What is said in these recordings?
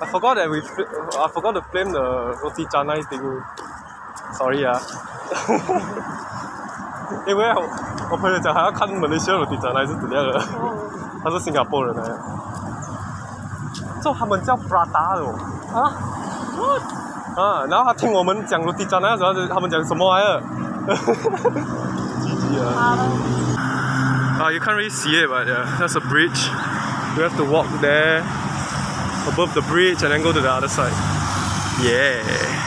I forgot that we I forgot to blame the roti canai thing. Sorry 啊，因为我我朋友讲他要看 Malaysia roti canai 是怎样的，他是新加坡人来的，就他们叫 you can't really see it, but yeah, that's a bridge. You have to walk there above the bridge and then go to the other side. Yeah.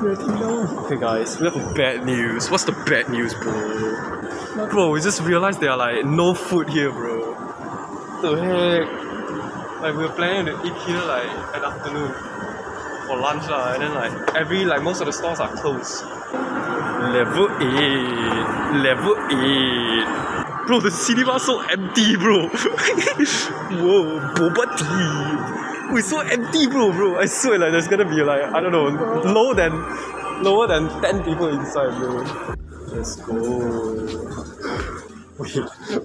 Okay, guys, we have bad news. What's the bad news, bro? Bro, we just realized there are like no food here, bro. The heck? Like we were planning to eat here like at afternoon for lunch lah, and then like every like most of the stores are closed. Level eight, level eight. Bro, the city cinema so empty, bro. whoa, boba We're so empty, bro, bro. I swear, like, there's gonna be, like, I don't know, lower than, lower than 10 people inside, bro. Let's go. Wait,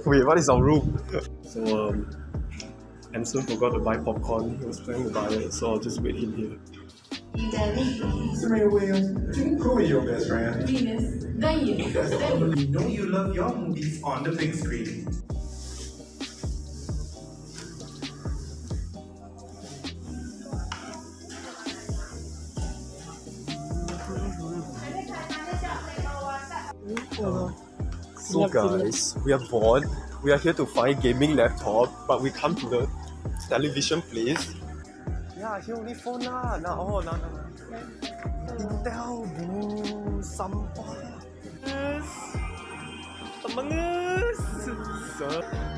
wait, what is our room? So, um, Anson forgot to buy popcorn. He was planning to buy it, so I'll just wait him here. Serena Williams, who is your best friend? Venus. Venus. You know you love your movies movies on the big screen. So guys, we are bored. We are here to find gaming laptop, but we come to the television place. Yeah, here only phone lah. Nah, oh, nah, nah, nah. Intel, bro. Sampah. Yes. Among Us. So,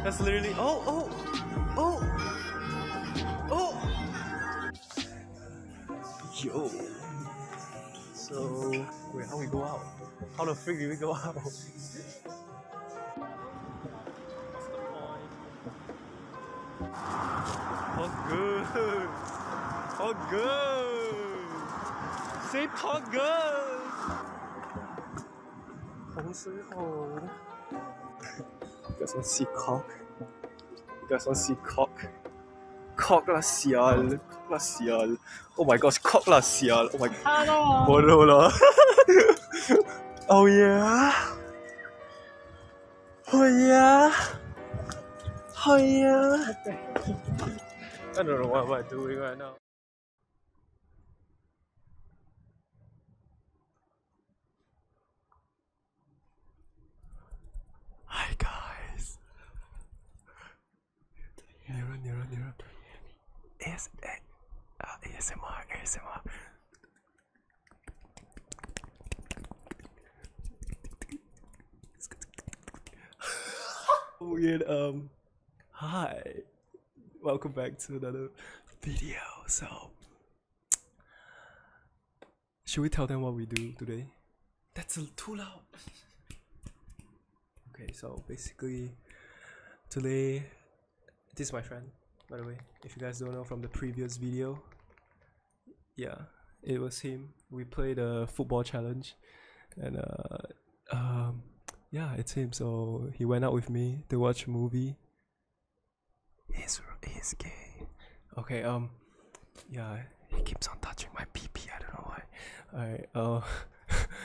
that's literally. Oh, oh, oh, oh. Yo. So, wait, how we go out? How the freak do we go out? Oh good, oh good. See, Got some sea cock. Got some sea cock. Cock la sial. Cock la sial. Oh my gosh, cock la sial. Oh my god. Hello. Oh yeah. Oh yeah. Oh yeah. I don't know what I'm doing right now. Hi guys. Nearer, nearer, nearer. Yes, uh, ASMR, ASMR. Weird. Um, hi. Welcome back to another video. So, should we tell them what we do today? That's too loud. Okay, so basically, today, this is my friend, by the way. If you guys don't know from the previous video, yeah, it was him. We played a football challenge, and uh, um, yeah, it's him. So he went out with me to watch a movie. He's he's gay. Okay. Um. Yeah. He keeps on touching my pee pee. I don't know why. Alright. Uh.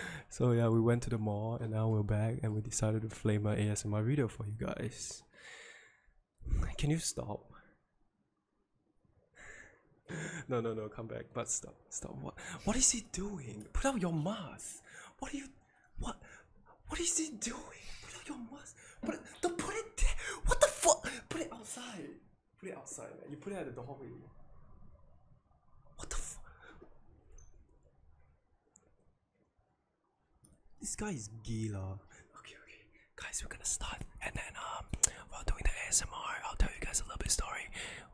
so yeah, we went to the mall, and now we're back, and we decided to flame my ASMR video for you guys. Can you stop? no, no, no, come back. But stop, stop. What? What is he doing? Put out your mask. What are you? What? What is he doing? Put out your mask. Put it, don't put it there. What the fuck? Put it outside. Put it outside, man. You put it at the doorway. What the fuck? This guy is gila. Okay, okay, guys, we're gonna start, and then um, while doing the ASMR, I'll tell you guys a little bit story.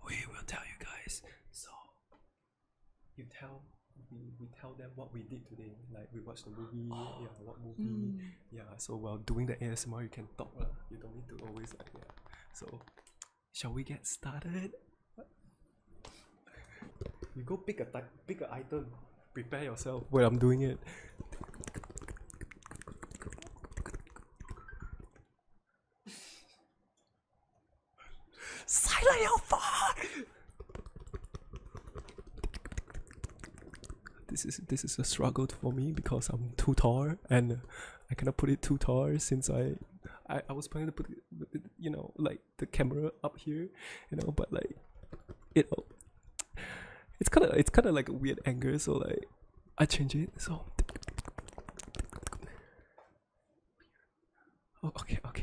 We will tell you guys. So you tell we we tell them what we did today. Like we watched the movie. Oh. Yeah, what movie? Hmm. Yeah. So while doing the ASMR, you can talk. Uh, you don't need to always like yeah. So shall we get started? you go pick a pick a item. Prepare yourself while I'm doing it. Silent your phone! This is this is a struggle for me because I'm too tall and I cannot put it too tall since I I, I was planning to put you know like the camera up here you know but like it it's kind of it's kind of like a weird anger so like i change it so oh, okay okay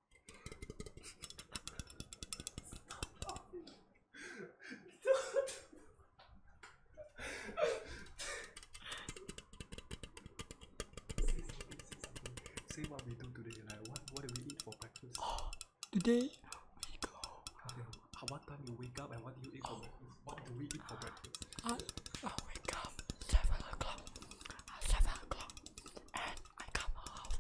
Say what we do today, like what, what do we eat for breakfast? today we go. How what time you wake up and what do you eat for breakfast? What do we eat for breakfast? I, I wake up seven o'clock. Seven o'clock I come out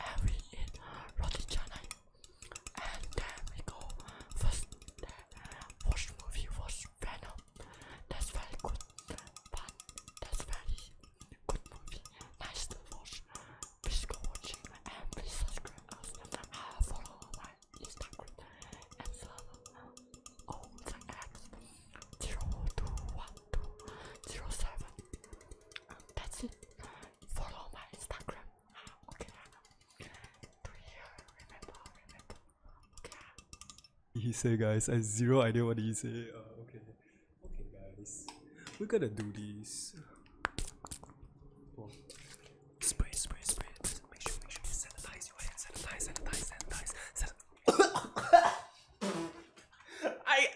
and we eat roti And then we go first watch movie, watch Venom. That's very good, but that's very good movie. Nice to watch. Please go watching and please subscribe us. follow my Instagram and uh, all that's it. Follow my Instagram. Okay. Do you remember? Remember? Okay. He said, guys, I have zero idea what he said. okay. Okay, guys. we got to do this. Spray, spray, spray. Make sure, make sure sanitize Sanitize, sanitize, sanitize. sanitize. I.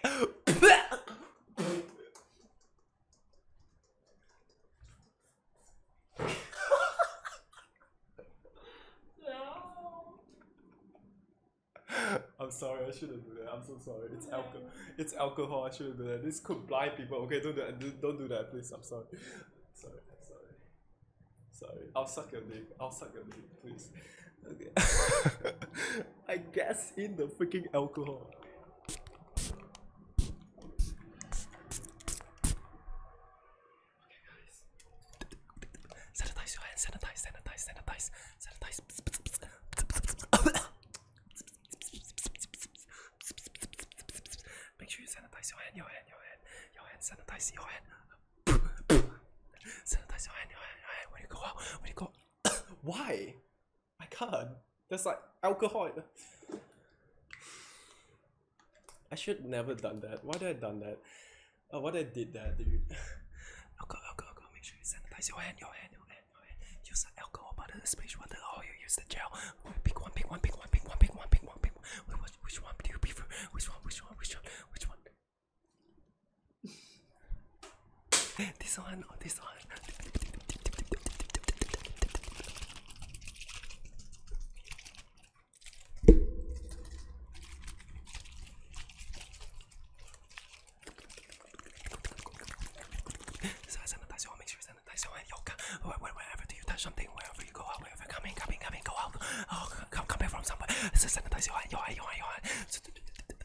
I'm sorry, I shouldn't do that. I'm so sorry. It's alcohol. It's alcohol. I shouldn't do that. This could blind people. Okay, don't do that. Don't do that, please. I'm sorry. Sorry. Sorry. Sorry. I'll suck your dick. I'll suck your dick, please. I guess in the freaking alcohol. Okay, guys. Sanitize your hands. Sanitize, sanitize, sanitize, sanitize. Make sure you sanitize your hand, your hand, your hand, your hand. Sanitize your hand. sanitize your hand, your hand, your hand. When you go out, when you go. Why? My god. That's like alcohol. I should never done that. Why did I done that? Oh, what I did that, dude. alcohol, alcohol, alcohol. Make sure you sanitize your hand, your hand, your hand, your hand. Use the alcohol butter, the splash water, or oh, you use the gel. Pick one, pick one, pick one, pick one, pick one, pick one, pick one. Wait, what, which one do you prefer? Which one, which one, which one, which one? this one or oh, this one? so I sanitize make sure you sanitize your yoga. Wherever do you touch something, wherever you go out, wherever come in, come go out. Oh, come, come back from somewhere. sanitize your hand, your hand, your hand, your hand.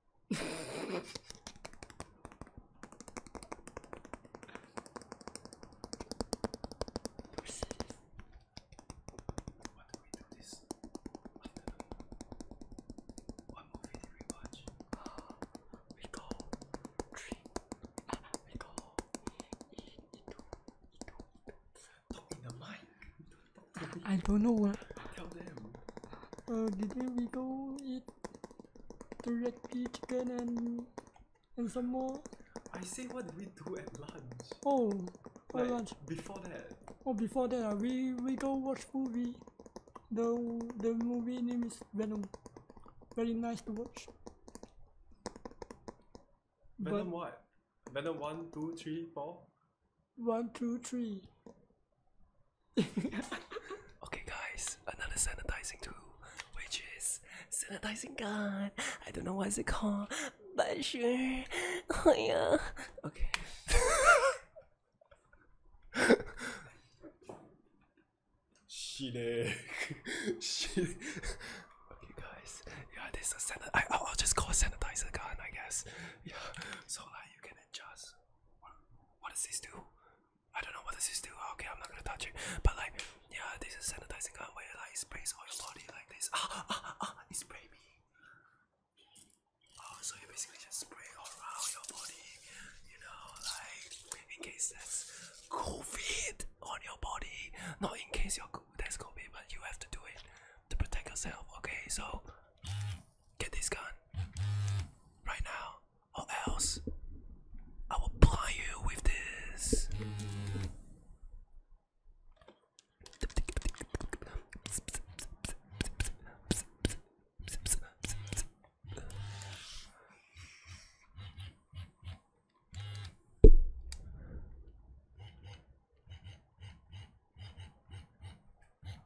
What do we do this? What movie did we watch? We go three. we go e, e, two, e, two, e, two. in the mic. I, don't know what. Tell them. Uh, today we go directly chicken and and some more. I say what we do at lunch? Oh, at lunch. Before that. Oh, before that, uh, we we go watch movie. The the movie name is Venom. Very nice to watch. Venom but, what? Venom one, two, three, four. One, two, three. okay, guys, another sanitizing tool, which is sanitizing gun. I don't know what is it called, but sure. Oh yeah. Okay. Shit. Shit. Okay, guys. Yeah, this is sanit. I will just call it sanitizer gun, I guess. Yeah. So like you can adjust. what does this do? I don't know what this is do. Ah, okay, I'm not gonna touch it. But like, yeah, this is sanitizing gun where like it sprays all your body like this. Ah, ah, ah, ah it spray me. Oh, so you basically just spray all around your body, you know, like in case that's COVID on your body. Not in case you're that's COVID, but you have to do it to protect yourself. Okay, so get this gun right now or else I will ply you with this.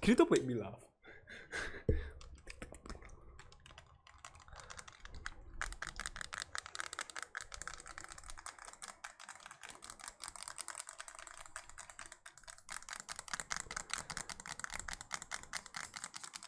Can you do make me laugh?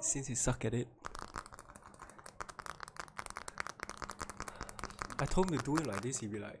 Since you suck at it. I told him to do it like this, he'd be like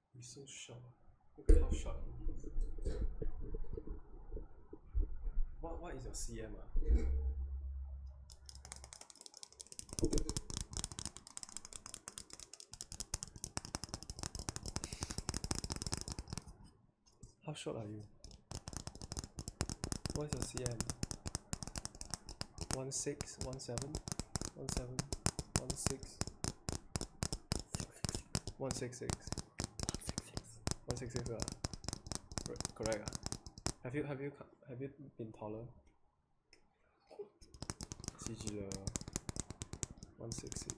You're so short. Look how short. What what is your CM ah? How short are you? What's your CM? One six, one seven, one seven, one six, 166. 166. 166 correct. Uh. Have you have you have you been taller? CG uh, 166.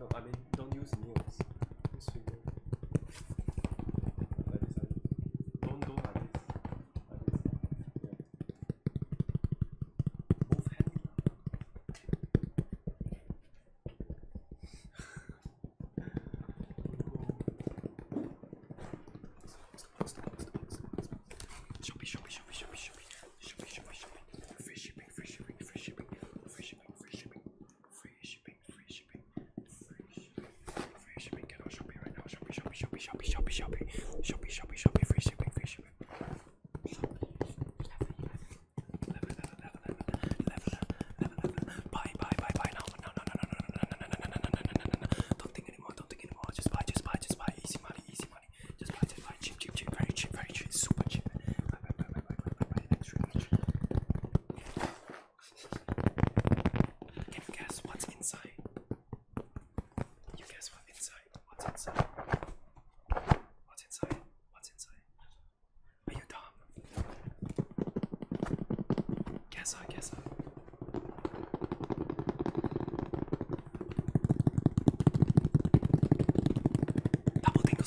No, I mean, don't use nails. Use finger. Like this. Don't do like this. Like this. Yeah. Move hand. Shopping, shopping, shopping, shopping, shopping, shopping, shopping, shopping. Free shipping, free shipping, free shipping, free shipping, free shipping, free shipping shipping, free shipping, free shipping, free shipping. Get on Shopee right now. Shopee, Shopee, Shopee, Shopee, Shopee, Shopee, Shopee, Shopee, Shopee, free shipping, free shipping. Buy, buy, buy, buy now. No, no, no, no, no, no, no, no, no, no, no, no, no, no. Don't think anymore. Don't think anymore. Just buy, just buy, just buy. Easy money, easy money. Just buy, just buy. Cheap, cheap, cheap. Very cheap, very cheap. Super cheap. Buy, buy, buy, buy, buy, buy, buy. Thanks very much. Can you guess what's inside? You guess what's inside? What's inside? What's inside? What's inside? Are you dumb? Guess I guess I. Double tingle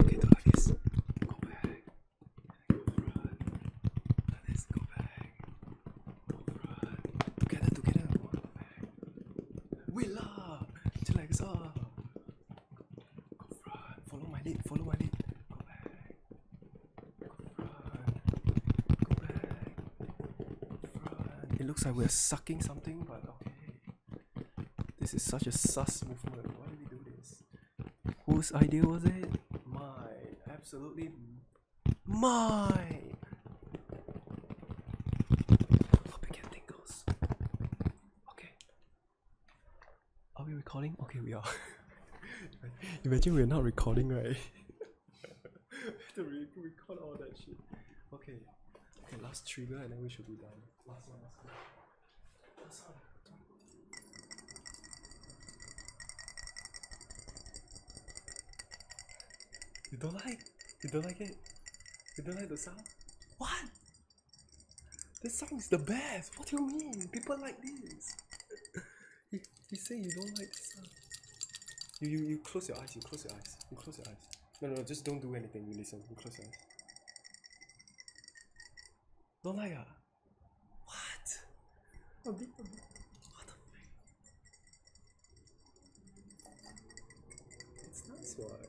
okay, do like this. Go back. Go front. Like this. Go back. Go front. Together, together. Go back. We love. Just like so. Go front. Follow my lead. Follow my lead. Go back. It looks like we're sucking something, but okay. This is such a sus movement. Why did we do this? Whose idea was it? Mine. Absolutely mine. Hope you get tingles. Okay. Are we recording? Okay, we are. Imagine we're not recording, right? We re record all that shit. Okay. Okay, last trigger and then we should be done. You don't like? You don't like it? You don't like the song? What? This song is the best! What do you mean? People like this! You, you say you don't like the sun. You, you, you close your eyes, you close your eyes, you close your eyes. No, no, no, just don't do anything, you listen, you close your eyes. Don't like ah? What? A bit, What the fuck? It's nice, right?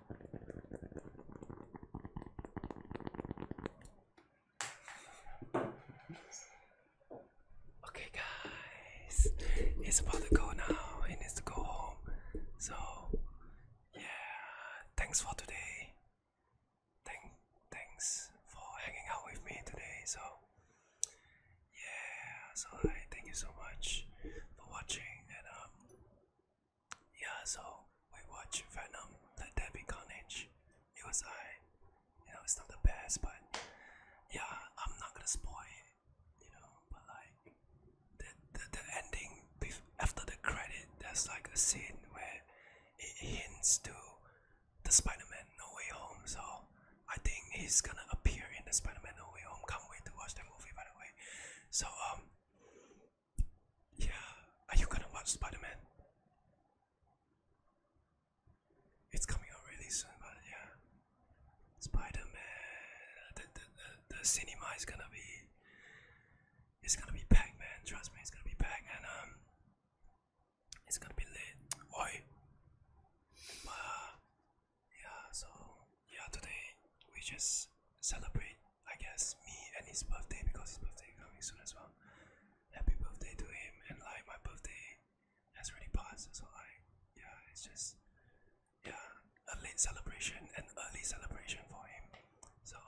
Okay, guys, it's about to go now. It needs to go home. So, yeah, thanks for today. Thank, thanks for hanging out with me today. So, yeah, so I thank you so much for watching, and um, yeah, so we watched Venom, the Debbie Carnage. It was I. You know, it's not the best, but yeah, I'm not gonna spoil it. You know, but like the the, the ending after the credit, there's like a scene where it hints to the Spider-Man No Way Home. So I think he's gonna appear in the Spider-Man No Way Home. Can't wait to watch the movie, by the way. So um, yeah, are you gonna watch Spider Man? It's coming out really soon, but yeah. Spider Man, the, the, the, cinema is gonna be. It's gonna be packed, man. Trust me, it's gonna be packed, and um, it's gonna be lit. Oi. But, yeah, so yeah, today we just celebrate, I guess, me and his birthday because his birthday is coming soon as well. Happy birthday to him, and like my birthday has already passed, so I, yeah, it's just, yeah, a late celebration and early celebration for him. So,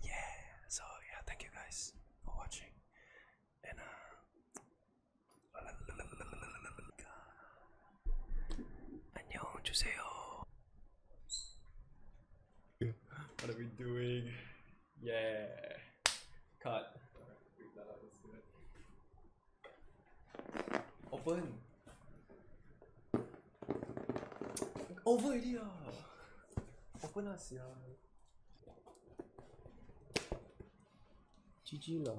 yeah, so yeah, thank you guys for watching, and uh. What are we doing? Yeah. Cut. Open. Open already ah. Open us yeah. GG lah.